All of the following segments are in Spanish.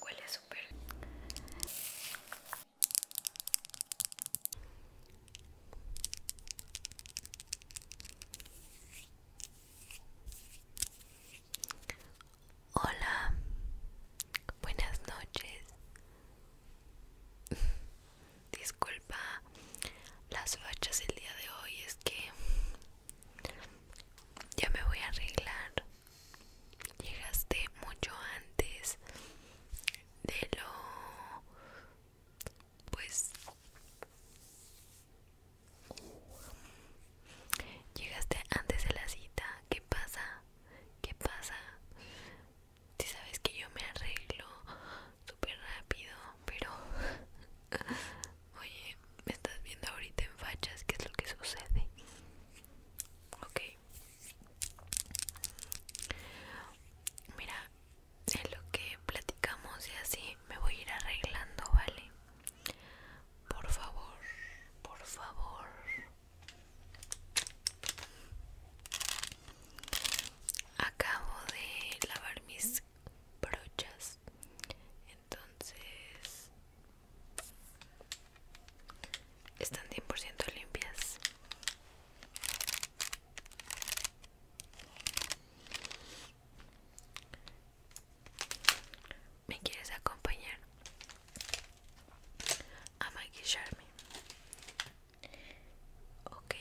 Huele súper. Hola, buenas noches. Disculpa las fachas el día de hoy, es que ya me voy a arreglar llegaste mucho antes de lo pues llegaste antes de la cita ¿qué pasa? ¿qué pasa? si sabes que yo me arreglo súper rápido pero Oye, me estás viendo ahorita en fachas, ¿qué es lo que sucede? Ok. Mira, es lo que platicamos y así me voy a ir arreglando, ¿vale? Por favor, por favor. Acabo de lavar mis brochas entonces están 100% limpias me quieres acompañar a maquillarme ok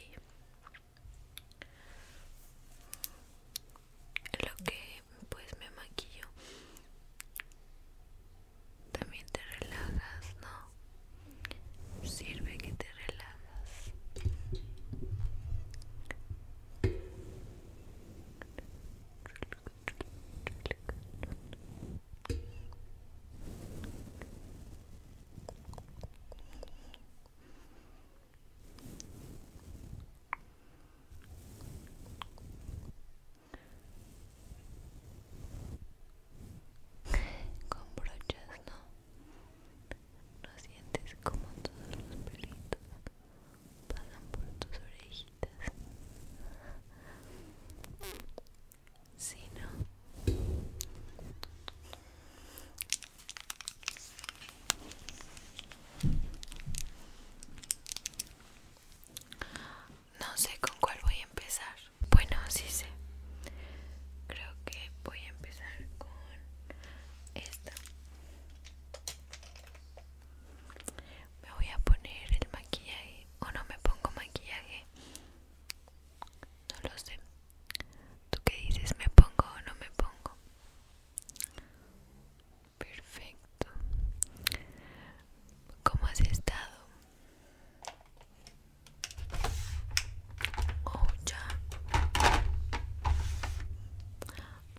lo que pues me maquillo también te relajas no sirve que te relajas con brochas no, no sientes como todos los pelitos pasan por tus orejitas. Si no. No sé con cuál voy a empezar. Bueno, sí sé. Creo que voy a empezar con esta. Me voy a poner el maquillaje o no me pongo maquillaje. No lo sé. ¿Tú qué dices? ¿Me pongo o no me pongo? Perfecto. ¿Cómo has estado? Oh, ya.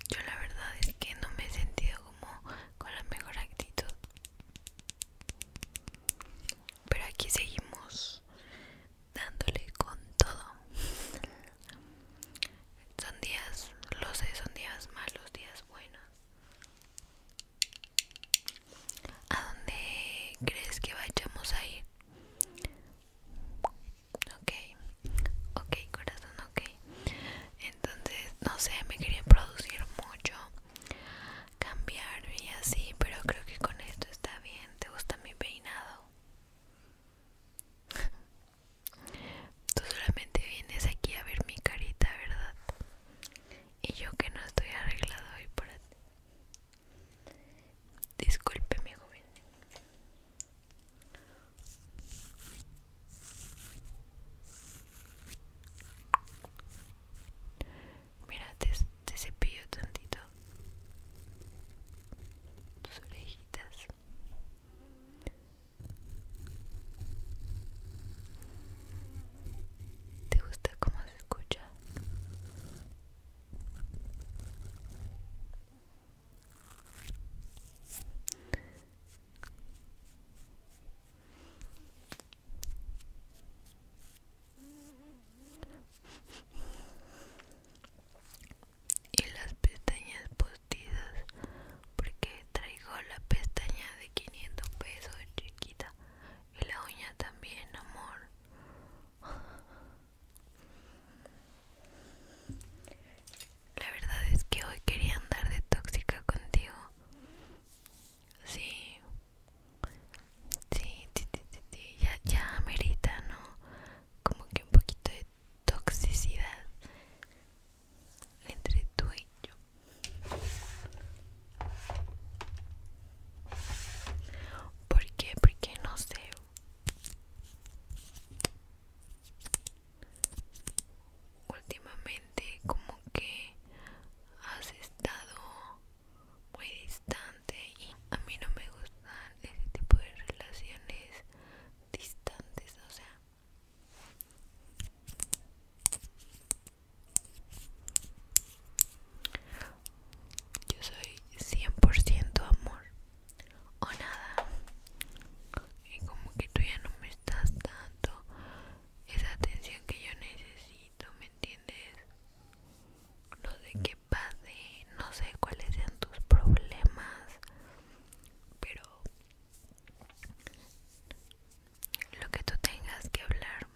Yo la verdad es que no me he sentido como con la mejor actitud. Pero aquí seguimos dándole con todo. Son días, lo sé, son días malos, días buenos. ¿A dónde crees que vayamos a ir? Ok, ok, corazón, ok. Entonces, no sé, me quería producir mucho, cambiar y así, pero creo que con esto está bien. ¿Te gusta mi peinado? Tú solamente vienes aquí a ver mi carita, ¿verdad? Y yo que no estoy arreglado hoy para ti. mi joven. Mira, te cepillo tantito tus orejitas. ¿Te gusta cómo se escucha? y las pestañas postizas porque traigo la pestaña de 500 pesos chiquita y la uña también amor la verdad es que hoy quería andar de tóxica contigo sí sí ya ya amerita no como que un poquito de toxicidad entre tú y yo. ¿Por qué? Porque no sé. Últimamente como que has estado muy distante y a mí no me gustan ese tipo de relaciones distantes, o sea. Yo soy 100% amor o nada. Y como que tú ya no me estás dando esa atención que yo necesito, ¿me entiendes? no sé qué pase, no sé cuáles sean tus problemas, pero lo que tú tengas que hablar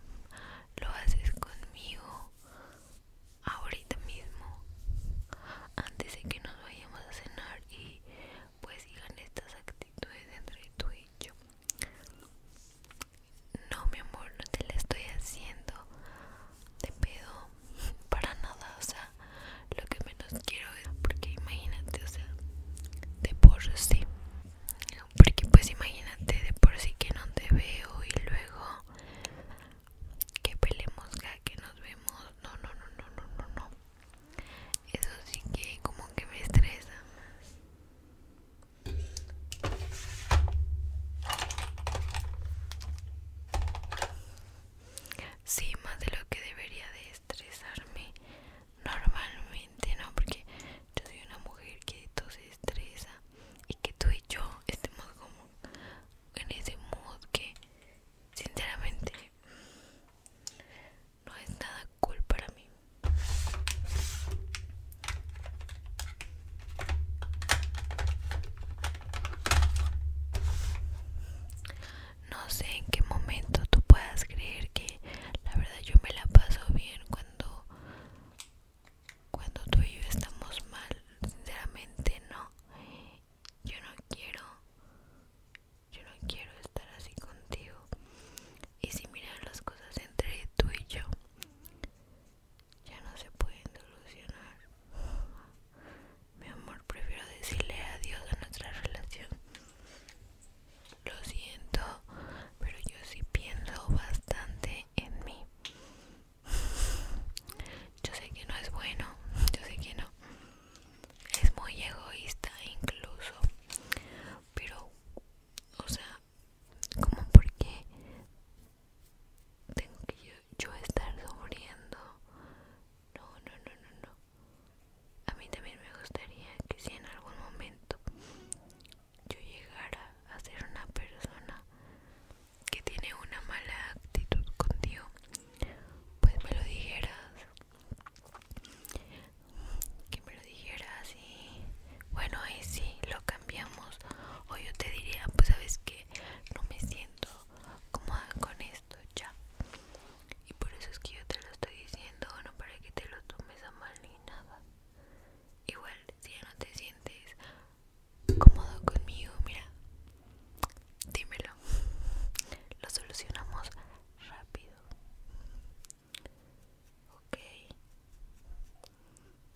lo haces conmigo ahorita mismo, antes de que nos vayamos a cenar y pues sigan estas actitudes entre tú y yo. No, mi amor, no te la estoy haciendo de pedo para nada, o sea, lo que menos quiero es porque imagínate, o sea, de por sí, porque pues imagínate de por sí que no te veo y luego que pelemos, que nos vemos, no, no, no, no, no, no, no, eso sí que como que me estresa Sí, más de lo que debería de estresarme normalmente, ¿no? Porque yo soy una mujer que todo se estresa y que tú y yo estemos como en ese modo que sinceramente no es nada cool para mí. No sé en qué momento tú puedas creer que la verdad yo me la paso bien cuando cuando tú y yo estamos mal, sinceramente no. Yo no quiero yo no quiero estar así contigo. Y si miras las cosas entre tú y yo, ya no se puede solucionar. Mi amor, prefiero decirle adiós a nuestra relación. Lo siento, pero yo sí pienso bastante en mí. Yo sé que no es bueno, yo sé que no. Es muy egoísta incluso. Pero, o sea, como porque tengo que yo, estar sufriendo. No, no, no, no, no. A mí también me gustaría que si en algún momento yo llegara a ser una persona que tiene una mala actitud contigo, pues me lo dijeras. Que me lo dijeras y bueno, ahí sí, loca o yo te diría pues sabes que no me siento cómoda con esto ya y por eso es que yo te lo estoy diciendo no para que te lo tomes a mal ni nada igual si ya no te sientes cómodo conmigo mira dímelo lo solucionamos rápido ok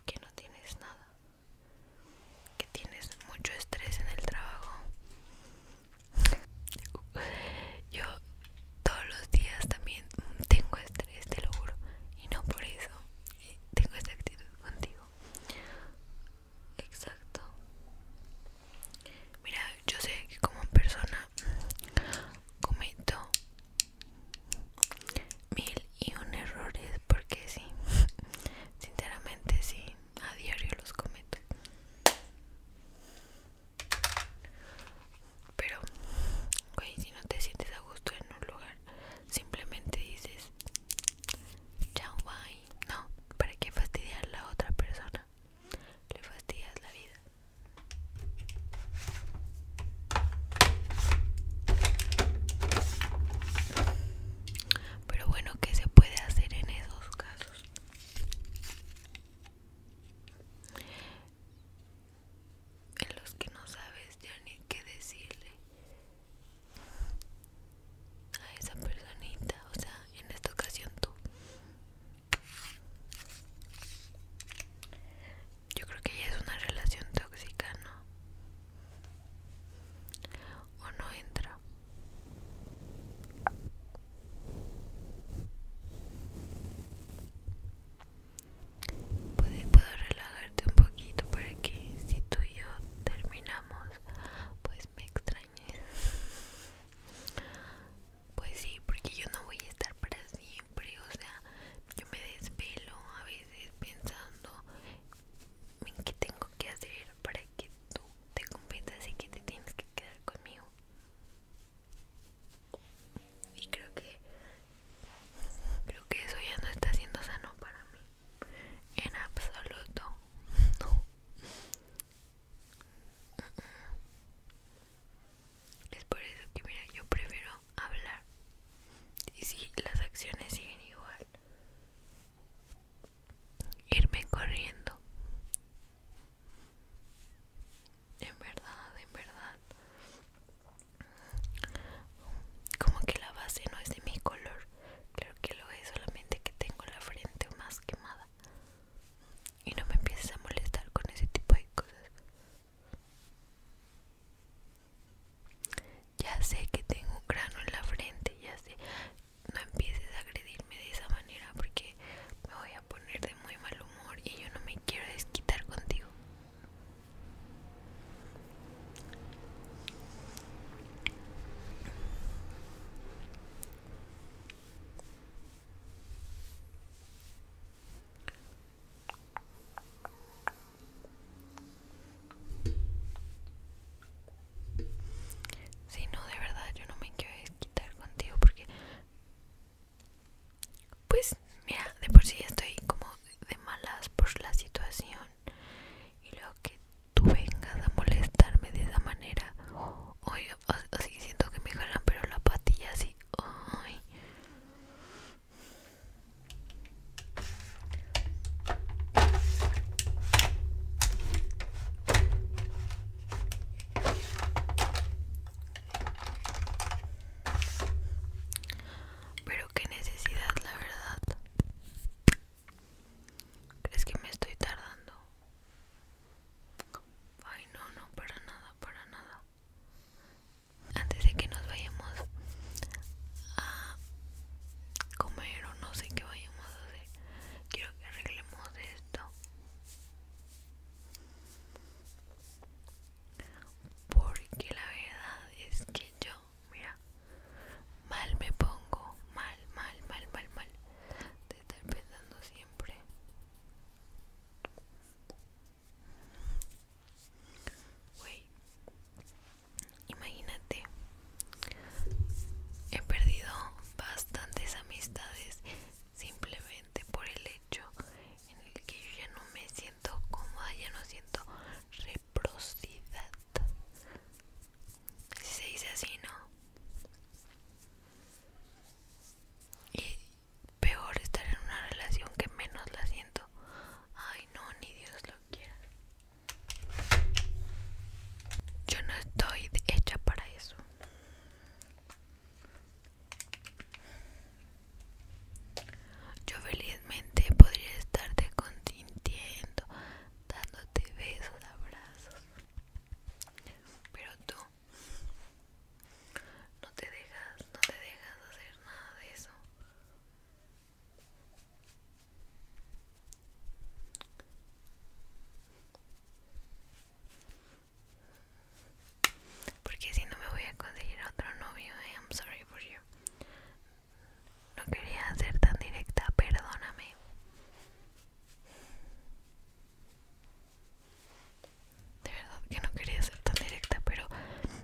que no tienes nada que tienes mucho estrés en el trabajo. Yo todos los días también tengo estrés, de lo Y no por eso eh, tengo esta actitud contigo. Exacto. Mira, yo sé que como persona cometo mil y un errores porque sí sinceramente sí a diario los cometo pero güey si no te sientes a gusto en un lugar simplemente dices chao bye no para qué fastidiar a la otra persona le fastidias la vida pero bueno, ¿qué se puede hacer en esos casos? En los que no sabes ya ni qué decirle a esa personita, o sea, en esta ocasión tú. Yo creo que ya es una relación tóxica, ¿no? O no entra. Puedo, relajarte un poquito para que si tú y yo terminamos, pues me extrañes. Pues sí, porque yo no voy a estar para o sea, yo me desvelo a veces pensando en qué tengo que hacer para que tú te convenzas y que te tienes que quedar conmigo. Y creo que creo que eso ya no está siendo sano para mí. En absoluto. No. Mm, mm. Es por eso que mira, yo prefiero hablar. Y si las acciones siguen igual, irme corriendo. En verdad, en verdad. Como que la base no es de mi color. Claro que lo es, solamente que tengo la frente más quemada. Y no me empieces a molestar con ese tipo de cosas. Ya sé que tengo un grano en la frente, ya sé. No empieces a agredirme de esa manera porque me voy a poner de muy mal humor y yo no me quiero desquitar contigo. Si no, de verdad yo no me quiero quitar contigo porque pues mira, de por sí estoy como de malas por la situación y luego que tú vengas a molestarme de esa manera, hoy así siento que me jalan pero la patilla así, ay, pero qué necesidad, la verdad. ¿Crees que me estoy tardando? Ay, no, no, para nada, para nada antes de que nos vayamos a comer o no sé qué vayamos a hacer quiero que arreglemos esto porque la verdad es que yo mira mal me pongo mal mal mal mal mal de estar pensando siempre imagínate, he perdido bastantes amistades simplemente por el hecho en el que yo ya no me siento cómoda, ya no siento reciprocidad. Si se dice así, ¿no? Y peor estar en una relación que menos la siento. Ay, no, ni Dios lo quiera. Yo no estoy hecha para eso. Yo felizmente podría estarte consintiendo, dándote besos, abrazos. Pero tú no te dejas, no te dejas hacer nada de eso. Porque si no me voy a conseguir otro novio, eh, I'm sorry for you. No quería ser tan directa, perdóname. De verdad que no quería ser tan directa, pero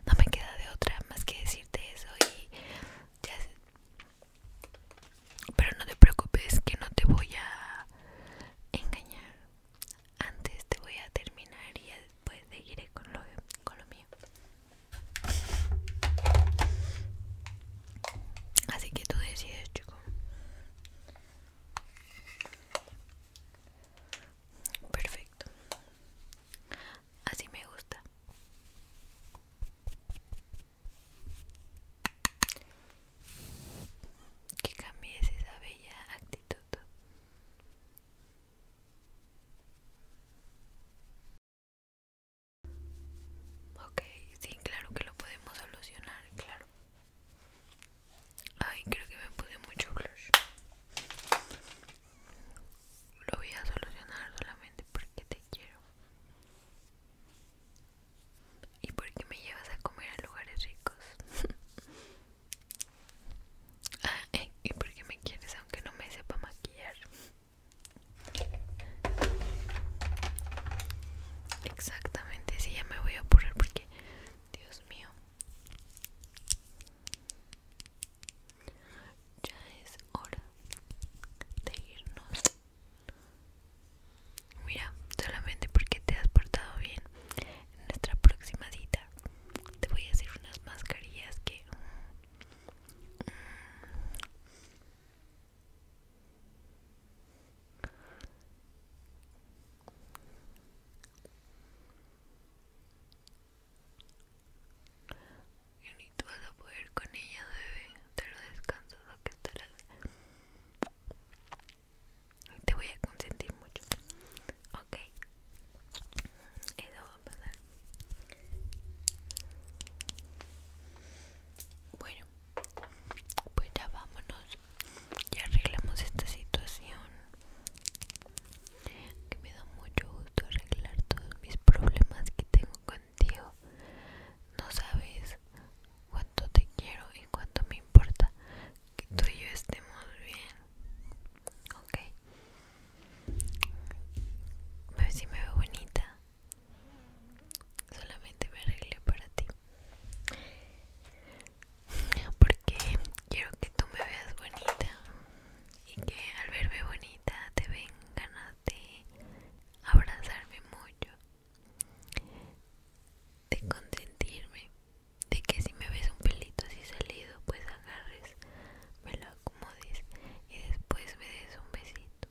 no me queda de otra más que decirte eso y ya sé. Pero no te preocupes que no te voy a engañar. Antes te voy a terminar y después seguiré con lo, con lo mío. Así que tú decides, chico. Perfecto. Así me gusta. Que cambies esa bella actitud. Ok, sí, claro que lo podemos solucionar, claro. Ay, creo que me puse mucho blush. Lo voy a solucionar solamente porque te quiero. Y porque me llevas a comer a lugares ricos. Ah, eh, y porque me quieres aunque no me sepa maquillar. Exactamente, sí, ya me voy a apurar porque, Dios mío. Ya es hora de irnos. Mira, solamente porque te has portado bien en nuestra próxima cita te voy a hacer unas mascarillas que mm, mm, y ni tú vas a poder con ella, debe Te lo descanso lo que estarás. Te voy a consentir mucho. Ok. Eso va a pasar. Bueno, pues ya vámonos y arreglamos esta situación que me da mucho gusto arreglar todos mis problemas que tengo contigo no sabes cuánto te quiero y cuánto me importa que tú y yo estemos bien ok a ver si me veo bonita solamente me arreglé para ti porque quiero que tú me veas bonita y que al verme bonita te ven ganas de abrazarme mucho, de consentirme, de que si me ves un pelito así salido, pues agarres, me lo acomodes y después me des un besito.